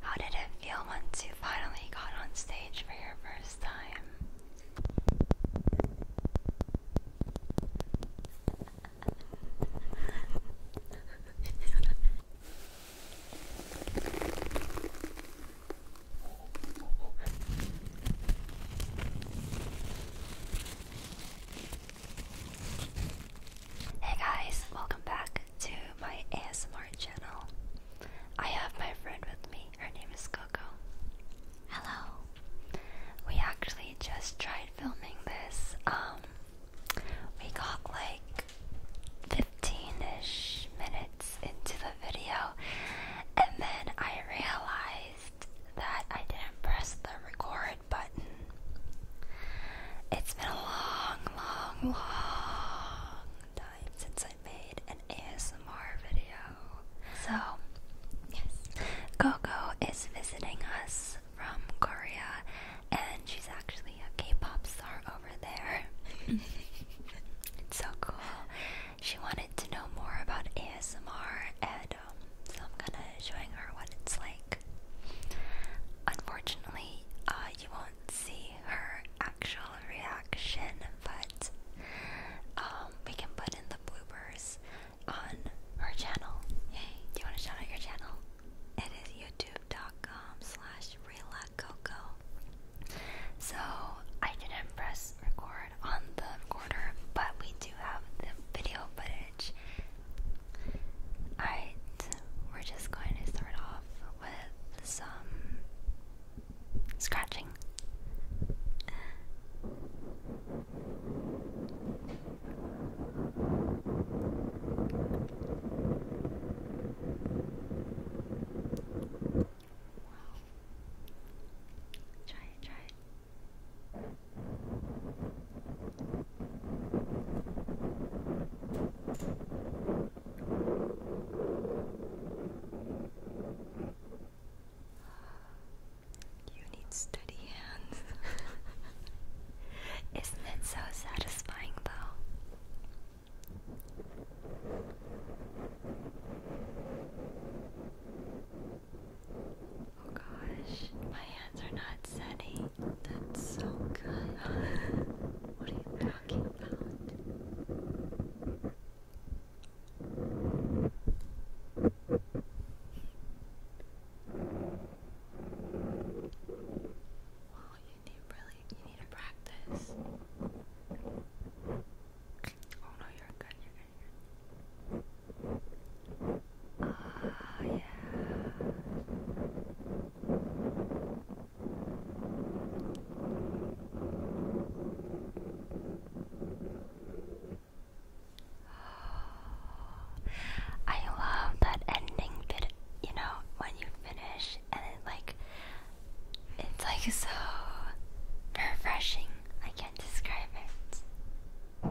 How did it feel once you finally got on stage for your first time? Hey guys, welcome back to my ASMR channel. I have my friend with me. Her name is Coco. Hello. We actually just tried filming this. Um, we got like 15ish minutes into the video and then I realized that I didn't press the record button. It's been a long, long, long since I made an ASMR video. So, yes, Coco is visiting us from Korea, and she's actually a K-pop star over there. it's so cool. She wanted to know more about ASMR, and um, so I'm kind of showing her what it's like. Unfortunately, uh, you won't see her actual reaction, but um, we can put in the bloopers on her channel. Hey, do you want to shout out your channel? It is youtube.com slash relacoco. So I didn't press record on the recorder, but we do have the video footage. Alright, we're just going to start off with some scratching. Wow. Try it, try it. You need steady hands. Isn't it so satisfying, though? Oh gosh, my hands are not steady. That's so good. what are you talking Wow, you need really you need to practice. Oh no, you're good, you're good, Ah, yeah. I love that ending bit, you know, when you finish and it like it's like so refreshing. I can't describe it.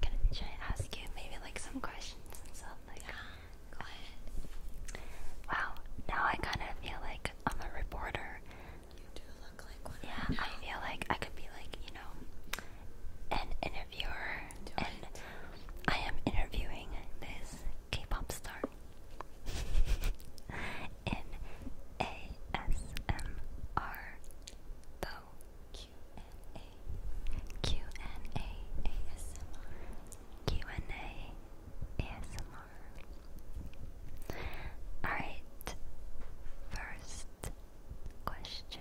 Can I, should ask you maybe like some questions and stuff? yeah, go ahead. Wow, now I kind of feel like I'm a reporter. You do look like one. Yeah, I feel like I could be like you know an interviewer, do it. I am interviewing this K-pop star in Alright, first question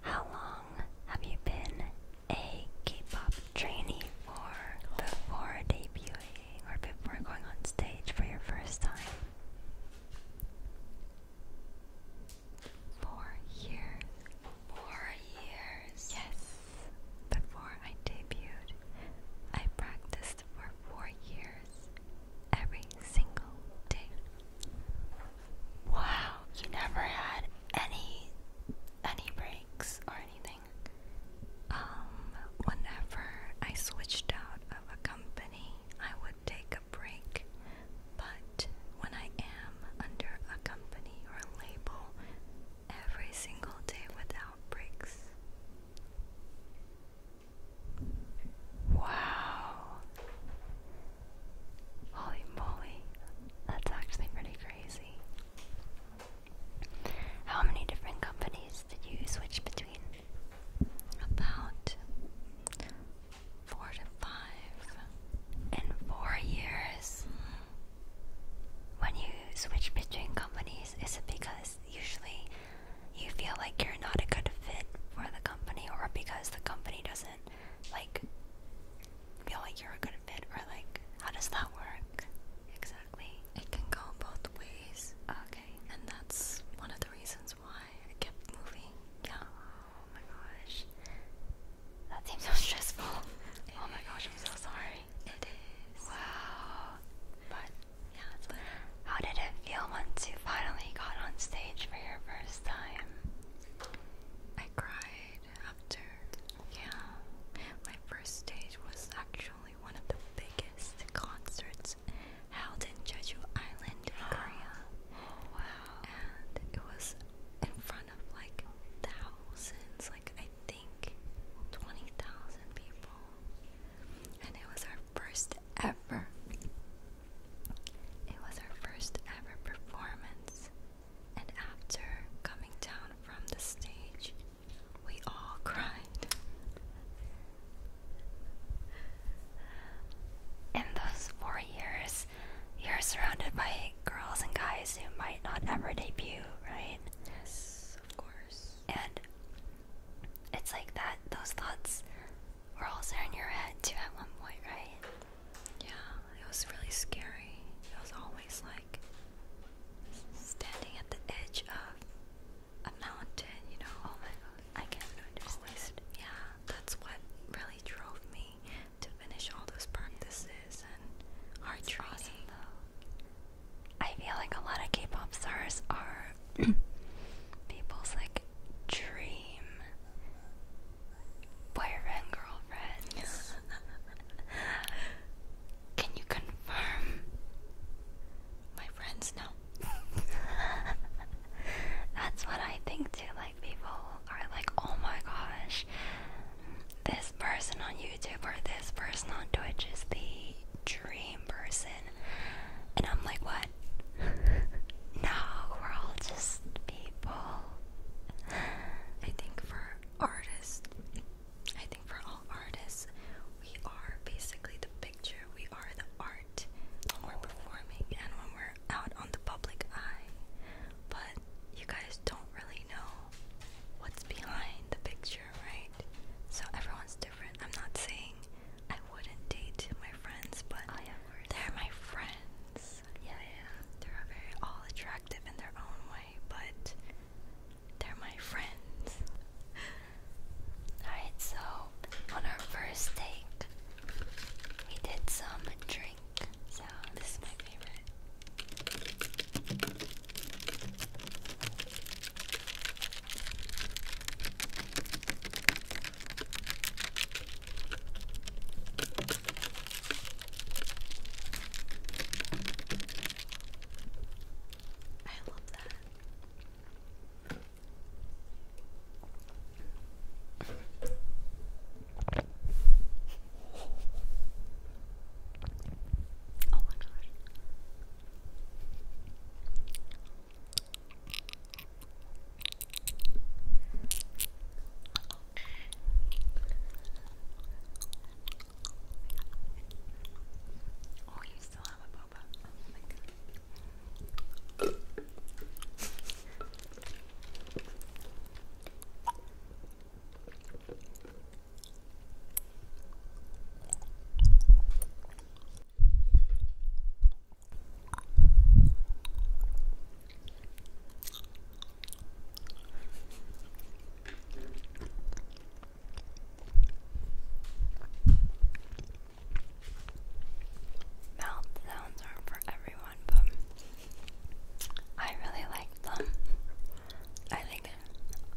How long have you been a K-pop trainee for before debuting or before going on stage for your first time. Four years. Four years. Yes. Before I debuted, I practiced for four years every single day. Wow, you never had any any breaks or um, whenever I switched out of a company, I would take a break. But when I am under a company or a label, every single day without breaks. Wow. Holy moly. That's actually pretty crazy. How many different companies did you switch between? About four to five in four years. When you switch between companies, is it because usually you feel like you're not a good fit for the company or because the company doesn't like feel like you're a good fit, or like, how does that work exactly? It can go both ways. Okay, and that's one of the reasons why I kept moving. Yeah. Oh my gosh, that seems so stressful. oh my gosh, I'm so sorry. It is. Wow. But yeah, it's but how did it feel once you finally got on stage for your first time? I cried after yeah, my first stage was actually one of the biggest concerts held in Jeju Island, Korea. Wow. And it was in front of like thousands, like I think 20,000 people. And it was our first ever. It was our first ever performance and after coming down from the stage, we all cried. In those four years, you're surrounded by girls and guys who might not ever debut, right? Yes, of course. And it's like that, those thoughts were also in your head too at one point, right? Yeah, it was really scary. It was always like, standing at the edge of a mountain, you know, oh my god, I can't understand. Always, yeah, that's what really drove me to finish all those practices and hard it's though. I feel like a lot of K-pop stars are people's like dream boyfriend girlfriends. Can you confirm? My friends know. That's what I think too. Like people are like, oh my gosh, this person on YouTube or this person on Twitch is the dream person. And I'm like, what? no, we're all just people. I think for artists, I think for all artists, we are basically the picture, we are the art we're performing and when we're out on the public eye. But you guys don't really know what's behind the picture, right? So everyone's different. I'm not saying I wouldn't date my friends, but they're my friends. Yeah, yeah. They're all attractive in their own way, but they're my friends. Alright, so on our first take, we did some drink sound. This is my favorite. I love that. Oh my gosh. Oh, you still have a boba. Oh my god. Mouth sounds aren't for everyone, but I really like them. I think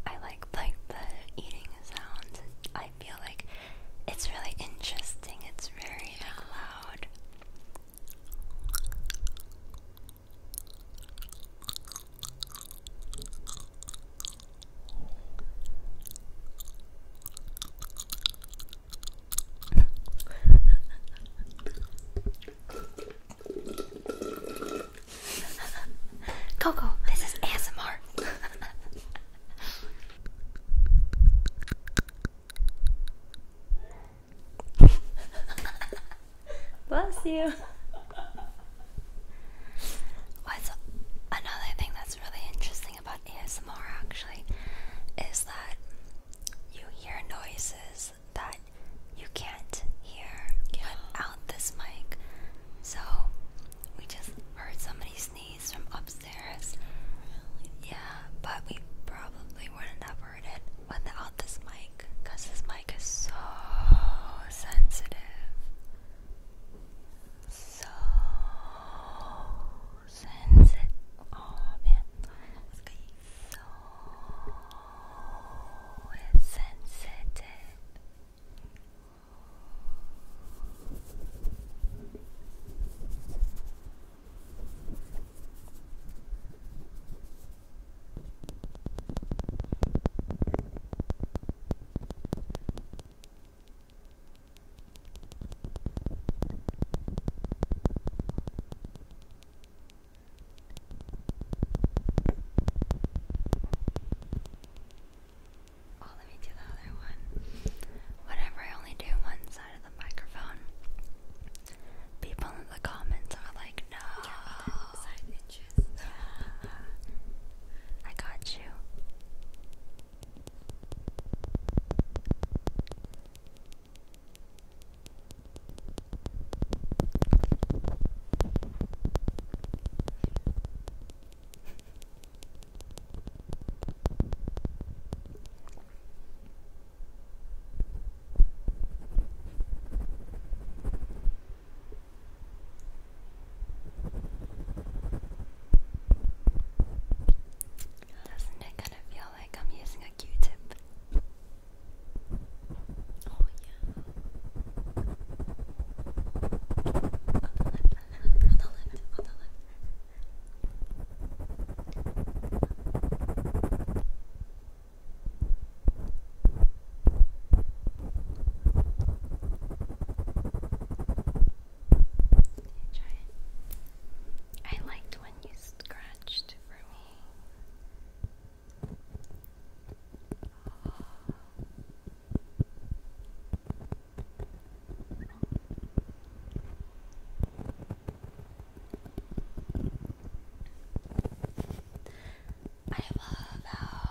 I like like the eating sounds. I feel like it's really interesting. It's very loud. Coco, this is ASMR. Bless you. another thing that's really interesting about ASMR actually is that you hear noises that you can't hear without this mic. So we just heard somebody sneeze from upstairs. Yeah, but we probably wouldn't have heard it without this mic because this mic is so sensitive. So sensitive. Oh man, so sensitive. Oh, let me do the other one. Whatever, I only do one side of the microphone. People in the comments are like, no. Yeah, side, bitches. I got you. Doesn't it kind of feel like I'm using a Q-tip? Oh yeah. On the left, on the left, on the left. Try I liked when you scratched for me. I love how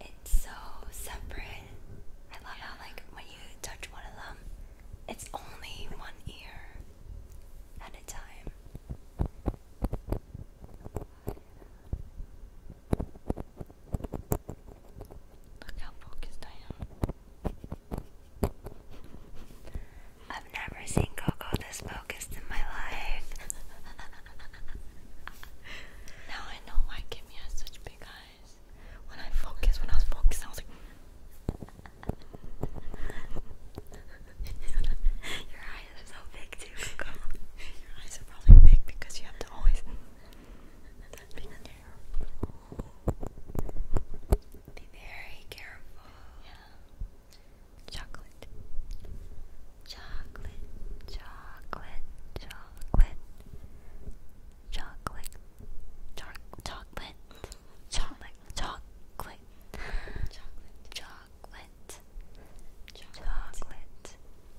it's so separate. I love how like when you touch one of them, it's only one ear at a time. Look how focused I am. I've never seen Coco this focused in my life. now I know why Kimmy has such big eyes. When I focus, when I was focused, I was like, Your eyes are so big, too. Your eyes are probably big because you have to always be very careful. Chocolate chocolate, chocolate, chocolate, chocolate, chocolate, chocolate, chocolate, chocolate, chocolate,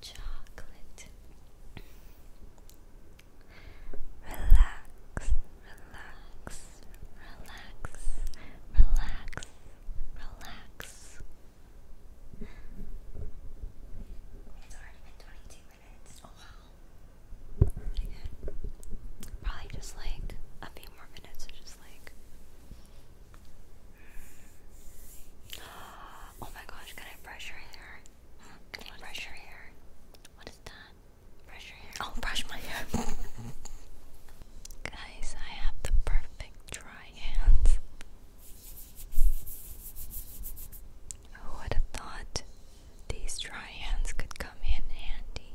chocolate, chocolate, chocolate. Relax, relax, relax, relax, relax. It's already been 22 minutes. Oh wow. Probably just like a few more minutes just like. Oh my gosh, can I brush your hair? brush your hair? What is that? Brush your hair. Oh, brush my hair. Guys, I have the perfect dry hands. Who would have thought these dry hands could come in handy?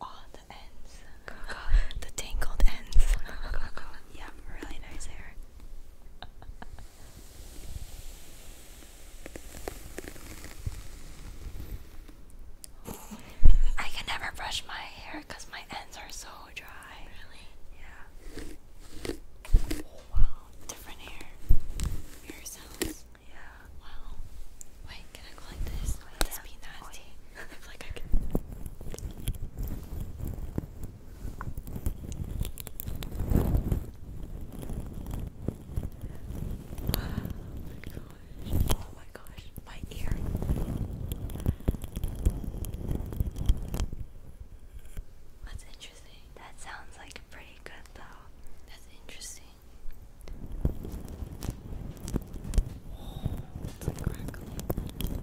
Oh, the ends. the tangled ends. Yeah, really nice hair. I can never brush my hair because my ends are so dry. Really? Yeah. wow. Different hair. Hair cells. Yeah. Wow. Wait, can I go like this? this be nasty? Oh, like I can gosh. Oh my gosh. My ear. That's interesting. That sounds like pretty good though. That's interesting. Oh, like crackling.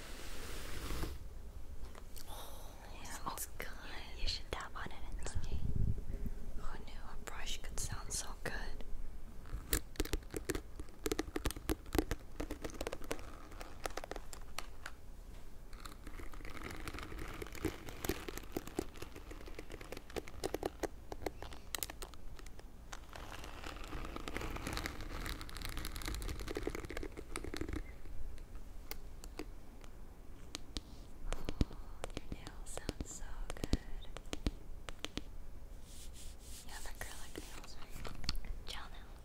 Oh, good. You, should tap on it Who knew a brush could sound so good? your nails sound so good. You have acrylic nails, right? Gel nails.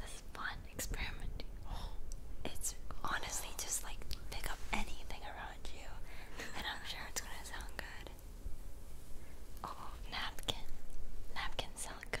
This fun experimenting. It's honestly just like pick up anything around you, and I'm sure it's gonna sound good. Oh, napkin. Napkins sound good.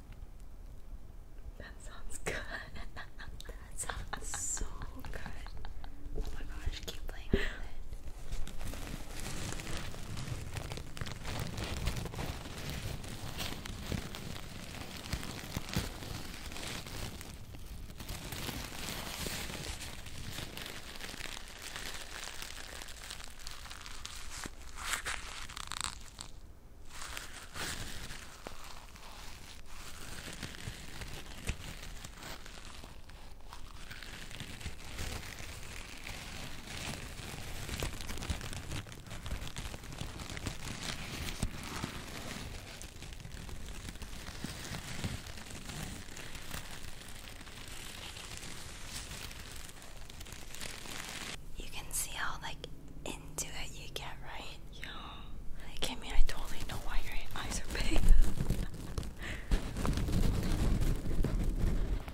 That sounds good. that sounds so good. Oh my gosh, keep playing it. You can see how like into that you get, right? Yeah. Like, I mean, I totally know why your eyes are big.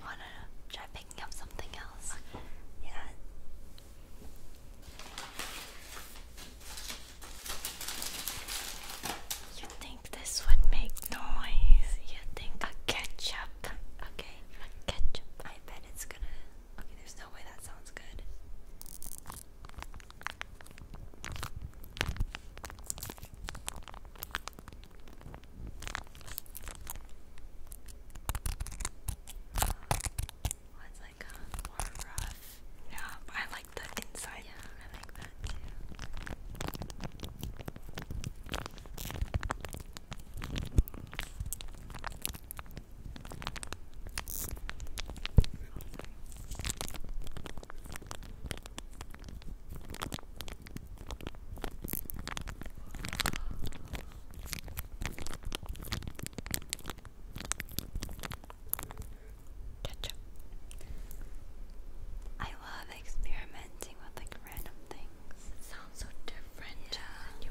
wanna try picking up something else. Yeah. You think this would make noise? You think a ketchup? Okay, a ketchup. I bet it's gonna Okay, there's no way that sounds good. Uh, like uh, more rough. Yeah, I like the inside. Yeah, I like that too. I love experimenting with like random things. sounds so different uh, you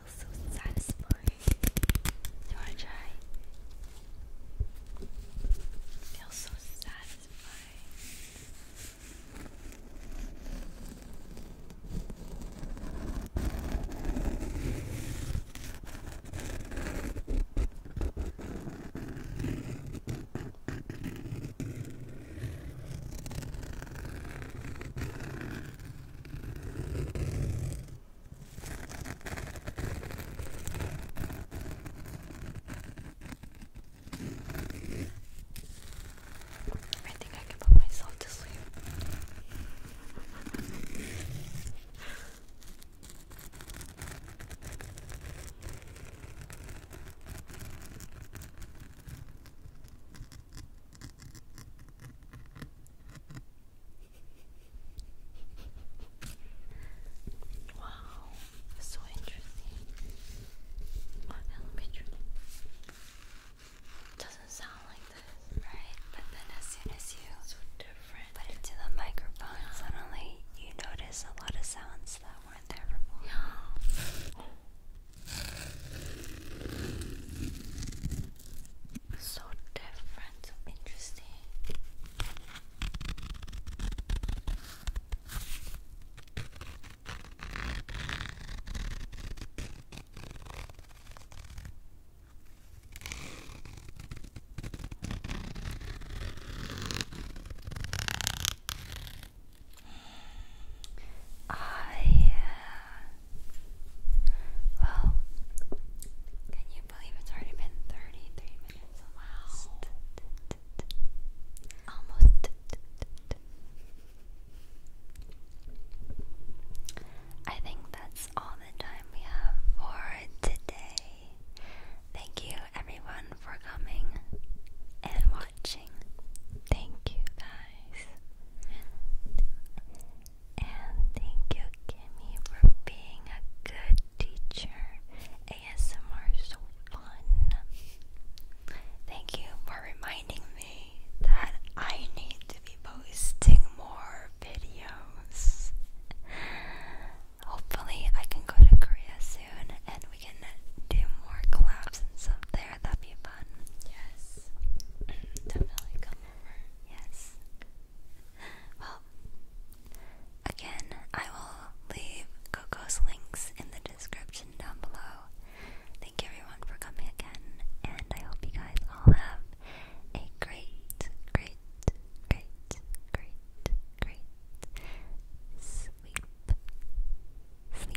feels You wanna try? feels so satisfying. I think I can put myself to sleep. Wow, so interesting. Doesn't sound like this, right? But then as soon as you put it to the microphone, suddenly you notice a lot of sounds that weren't there before. So different, so interesting. I ah, well, can you believe it's already been 33 minutes? Wow. Almost. I think that's all the time we have for today. Thank you everyone for coming and watching. Thank you guys. And thank you, Kimmy, for being a good teacher. ASMR is so fun. Thank you for reminding me that I need to be posting more videos. Hopefully, I can go to Korea soon and we can do more collabs and stuff there. That'd be fun. Yes. Definitely come over. Yes. Well, again, I will leave Coco's links in the description down below. Thank you everyone for coming again, and I hope you guys all have a great, great, great, great, great sleep. Sleep.